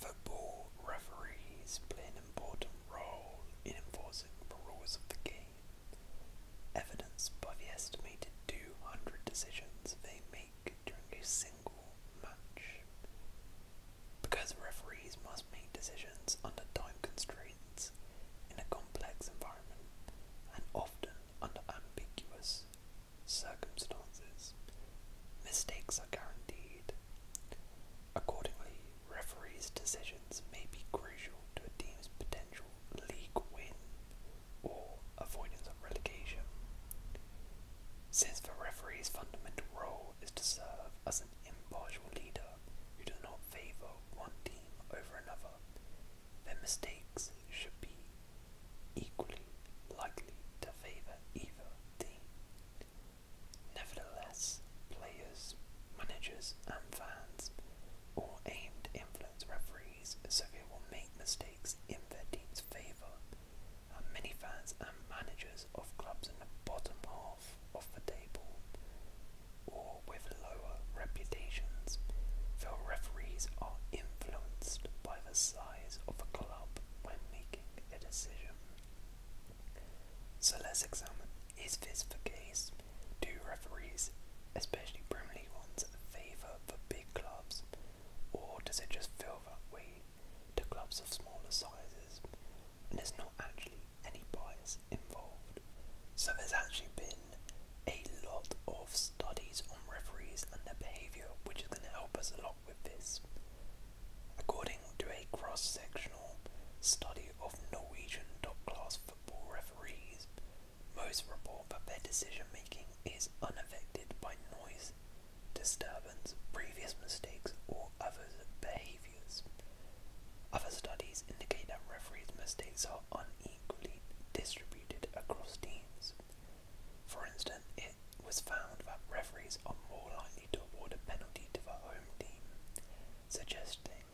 Football referees play an important role in enforcing the rules of the game, evidenced by the estimated 200 decisions they make during a single match. Because referees must make decisions under time constraints in a complex environment and often under ambiguous circumstances. Mistakes are guaranteed. Accordingly, referees' decisions may be crucial to a team's potential league win or avoidance of relegation. Since the referee's fundamental role is to serve as an impartial leader who does not favour one team over another, their mistakes should be equally likely to favour either quality. Nevertheless, players, managers, and fans all aim to influence referees so they will make mistakes in their team's favour, and many fans and managers of clubs in the bottom half of the table or with lower reputations feel referees are influenced by the size of a club when they so let's examine is this the case? Do referees, especially Premier League ones, favour the big clubs? Or does it just favour that to clubs of smaller sizes? And there's not actually any bias involved. So there's actually been a lot of studies on referees and their behaviour, which is going to help us a lot According to a cross sectional study of Norwegian top class football referees, most report that their decision making is unaffected by noise, disturbance, previous mistakes, or other behaviours. Other studies indicate that referees' mistakes are unequally distributed across teams. For instance, it was found that referees are more likely to award a penalty to the home team, suggesting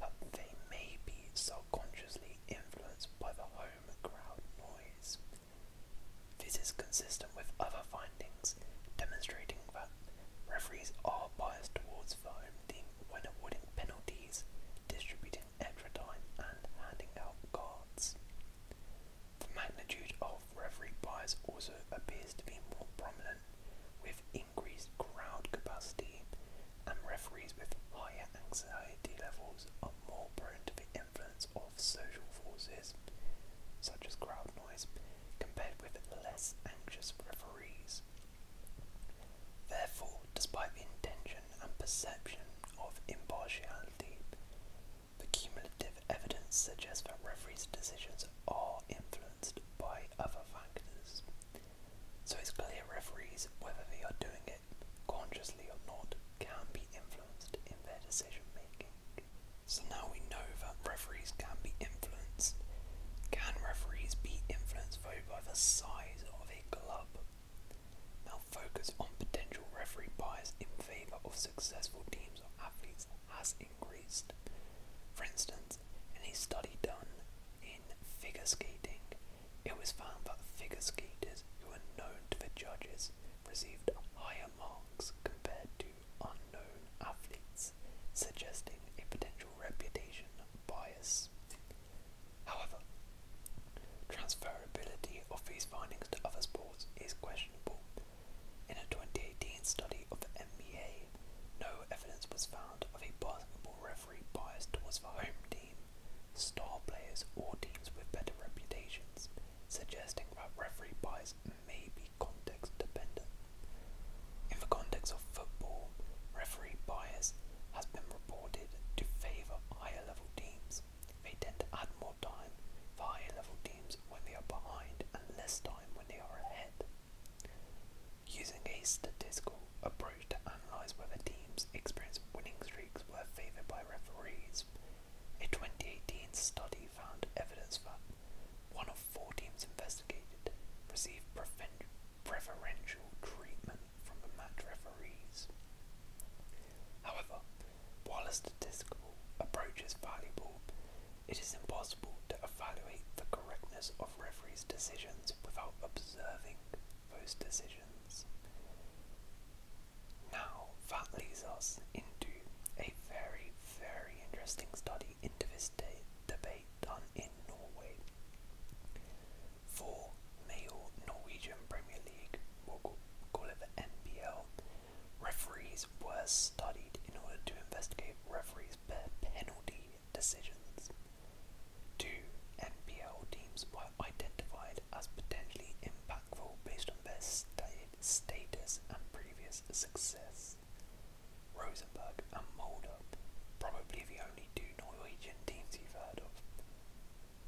that they may be subconsciously influenced by the home crowd noise. This is consistent with other findings demonstrating that referees are biased towards the home team when awarding penalties, distributing extra time, and handing out cards. The magnitude of referee bias also appears to be more prominent with increased crowd capacity, and referees with higher anxiety levels are more prone to the influence of social forces, such as crowd noise, compared with less anxious referees. Therefore, despite the intention and perception of impartiality, the cumulative evidence suggests that referees' decisions are influenced by other factors. So it's clear referees, whether they are doing it consciously or not, can be influenced in their decision making. So now we know that referees can be influenced. Can referees be influenced by the size of a club? Now focus on potential referee bias in favour of successful teams or athletes has increased. For instance, in a study done in figure skating, it was found that figure skaters who were known to the judges received higher marks compared to unknown athletes, suggesting a potential reputation bias. However, Transferability of these findings to other sports is questionable. In a 2018 study of the NBA, no evidence was found of a possible referee bias towards the home team, star players, or teams with better reputations, suggesting that referee bias may be context dependent. In the context of football, referee bias has been reported to favour higher level teams, they tend to add more time for higher level teams when they are behind and less time when they are ahead. Using a statistical approach to analyse whether teams experience winning streaks were favoured by referees, a 2018 study found evidence that one of four teams investigated received preferential treatment from the match referees. However, while a statistical approach is valuable, it is impossible to evaluate the correctness of referees' decisions without observing those decisions. Now, that leads us into a very, very interesting study into this debate done in Norway. Four male Norwegian Premier League, or call it the NPL, referees were studied in order to investigate referees' penalty decisions. Two NPL teams were identified as potentially impactful based on their status and previous success. Rosenborg and Molde, probably the only two Norwegian teams you've heard of,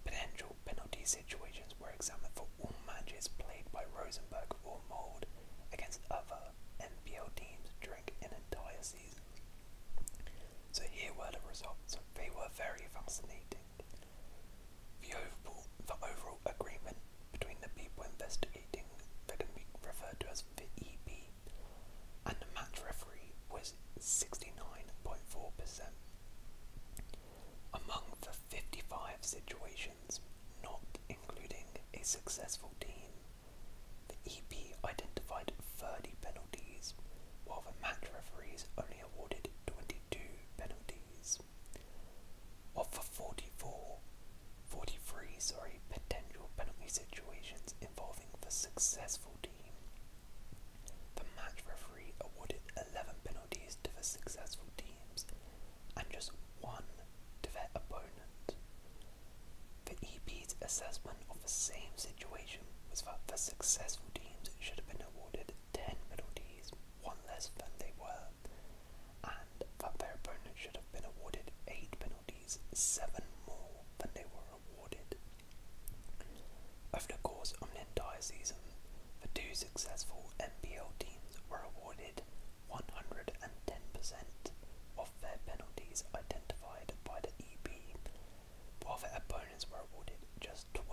Potential penalty situations were examined for all matches played by Rosenberg or Mould against other NPL teams during an entire season. So here were the results. They were very fascinating. The overall, agreement between the people investigating that can be referred to as the and the match referee was 69.4%. Among the 55 situations not including a successful team, the EP identified 30 penalties, while the match referees only awarded 22 penalties. Of the 44, 43 sorry, potential penalty situations involving the successful team, the match referee awarded 11 penalties to the successful teams and just one to their opponent. The EP's assessment of the same situation was that the successful teams should have been awarded 10 penalties, one less than they were, and that their opponent should have been awarded 8 penalties, 7 more than they were awarded. Over the course of an entire season, the two successful NBL teams were awarded 110% of their penalties identified by the EB, while their opponents were awarded just 12.5%.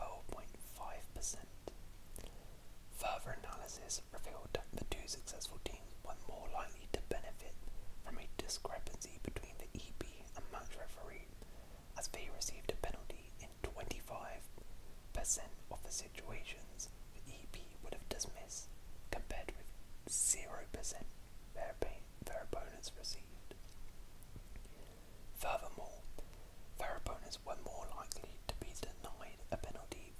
Further analysis revealed that the two successful teams were more likely to benefit from a discrepancy between the EB and match referee as they received a penalty in 25% of the situations the EP would have dismissed, compared with 0% their, opponents received. Furthermore, their opponents were more likely to be denied a penalty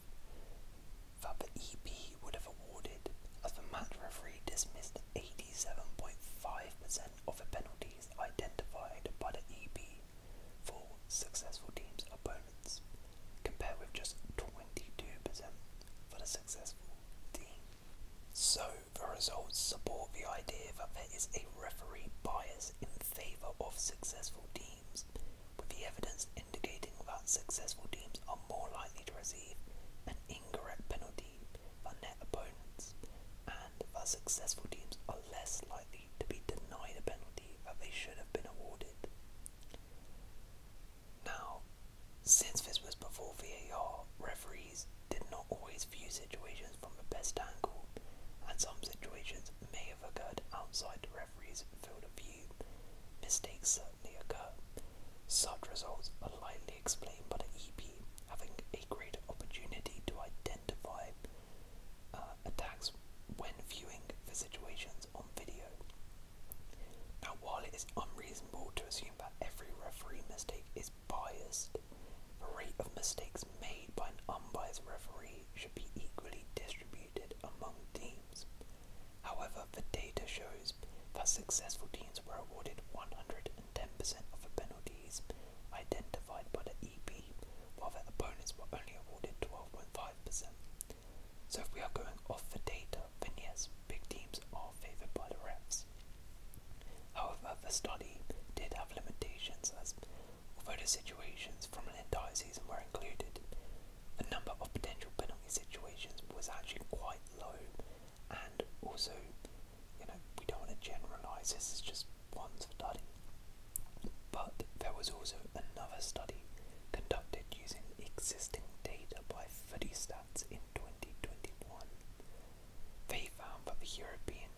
that the EP would have awarded, as the match referee dismissed 87.5% of the penalties identified by the EB for successful teams' opponents, compared with just 22% for the successful team. So, the results support the idea that there is a referee bias in favour of successful teams, with the evidence indicating that successful teams are more likely to receive an incorrect penalty that opponents, and that successful teams are less likely to be denied a penalty that they should have been awarded. Now, since this was before VAR, referees did not always view situations from the best angle, and some situations may have occurred outside the referee's field of view. Mistakes certainly occur. Such results are likely Explain, but an EP having a great opportunity to identify uh, attacks when viewing the situations on video. Now, while it is unreasonable to assume that every referee mistake is biased, the rate of mistakes made by an unbiased referee should be equally distributed among teams. However, the data shows that successful teams were awarded 110% of the penalties identified by the EB, while their opponents were only awarded 12.5%. So if we are going off the data, then yes, big teams are favoured by the refs. However, the study did have limitations as although the situations from an entire season were included, the number of potential penalty situations was actually quite low and also, you know, we don't want to generalize this is just one study, but there was also another study conducted using existing data by FuddyStats in 2021. They found that the European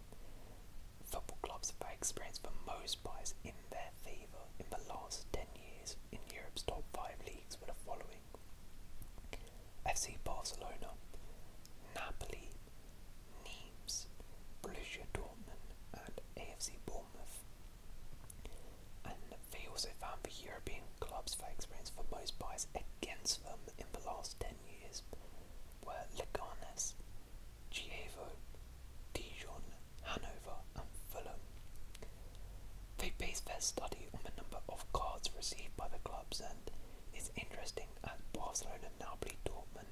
football clubs have experienced the most bias in their favour in the last 10 years in Europe's top 5 leagues were the following FC Barcelona, Napoli, Nimes, Borussia Dortmund, and AFC Bournemouth. And they also found the European clubs they experienced the most buys against them in the last 10 years were Leganes, Gievo, Dijon, Hanover, and Fulham. They based their study on the number of cards received by the clubs and is interesting at um, Barcelona, Napoli, Dortmund,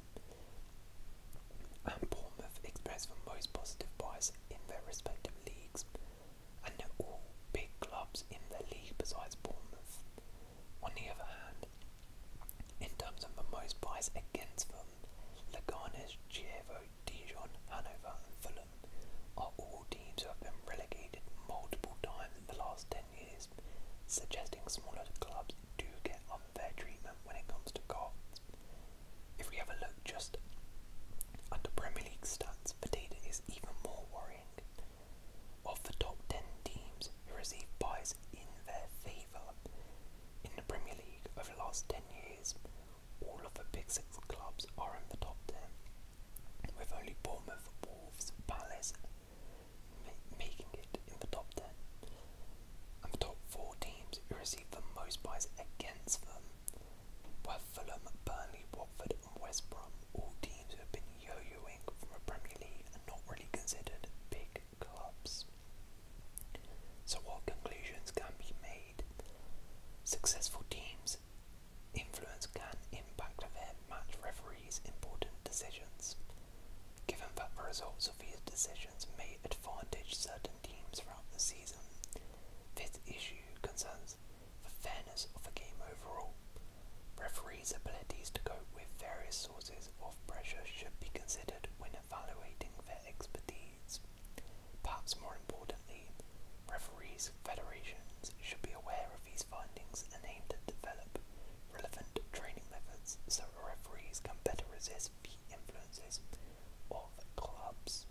and Bournemouth express the most positive bias in their respective leagues, and they're all big clubs in their league besides Bournemouth. On the other hand, in terms of the most bias against them, Leganes, Chievo, Dijon, Hanover, and Fulham are all teams who have been relegated multiple times in the last 10 10 suggesting smaller clubs do get unfair treatment when it comes to cards. If we have a look just at the Premier League stats, the data is even more worrying. Of the top 10 teams who received buys in their favour in the Premier League over the last 10 years, all of the Big Six clubs are in the top 10 with only Bournemouth, Wolves, Palace making it in the top 10. And the top four teams who received the most buys against them were Fulham, Burnley, Watford and West Brom, all teams who have been yo-yoing from a Premier League and not really considered big clubs. So what conclusions can be made? Successful teams Influence can impact on match referee's important decisions. Given that the results of these decisions may advantage certain teams throughout the season, this issue concerns the fairness of the game overall. Referees' abilities to cope with various sources of pressure should be considered when evaluating their expertise. Perhaps more importantly, referees federations should be aware of these findings and aim to develop relevant training methods so referees can better resist the influences of clubs.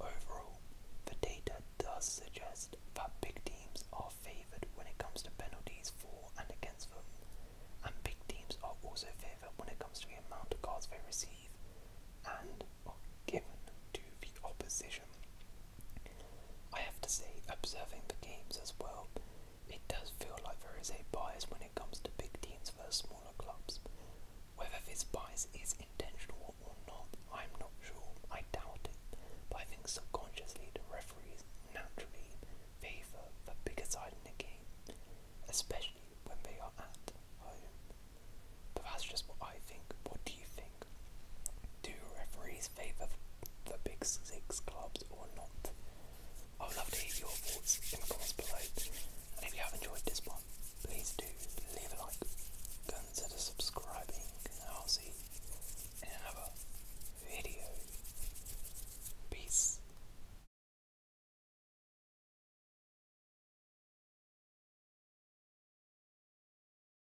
Overall, the data does suggest that big teams are favoured when it comes to penalties for and against them, and big teams are also favoured when it comes to the amount of cards they receive and are given to the opposition. I have to say, observing the games as well, it does feel like there is a bias when it comes to big teams versus smaller clubs. Whether this bias is intentional or not, I'm not sure. I doubt it. But I think subconsciously the referees naturally favour the bigger side in the game, especially when they are at home. But that's just what I think. What do you think? Do referees favour the big six clubs or not. I would love to hear your thoughts in the comments below. And if you have enjoyed this one, please do leave a like, consider subscribing, I'll see you in another video. Peace.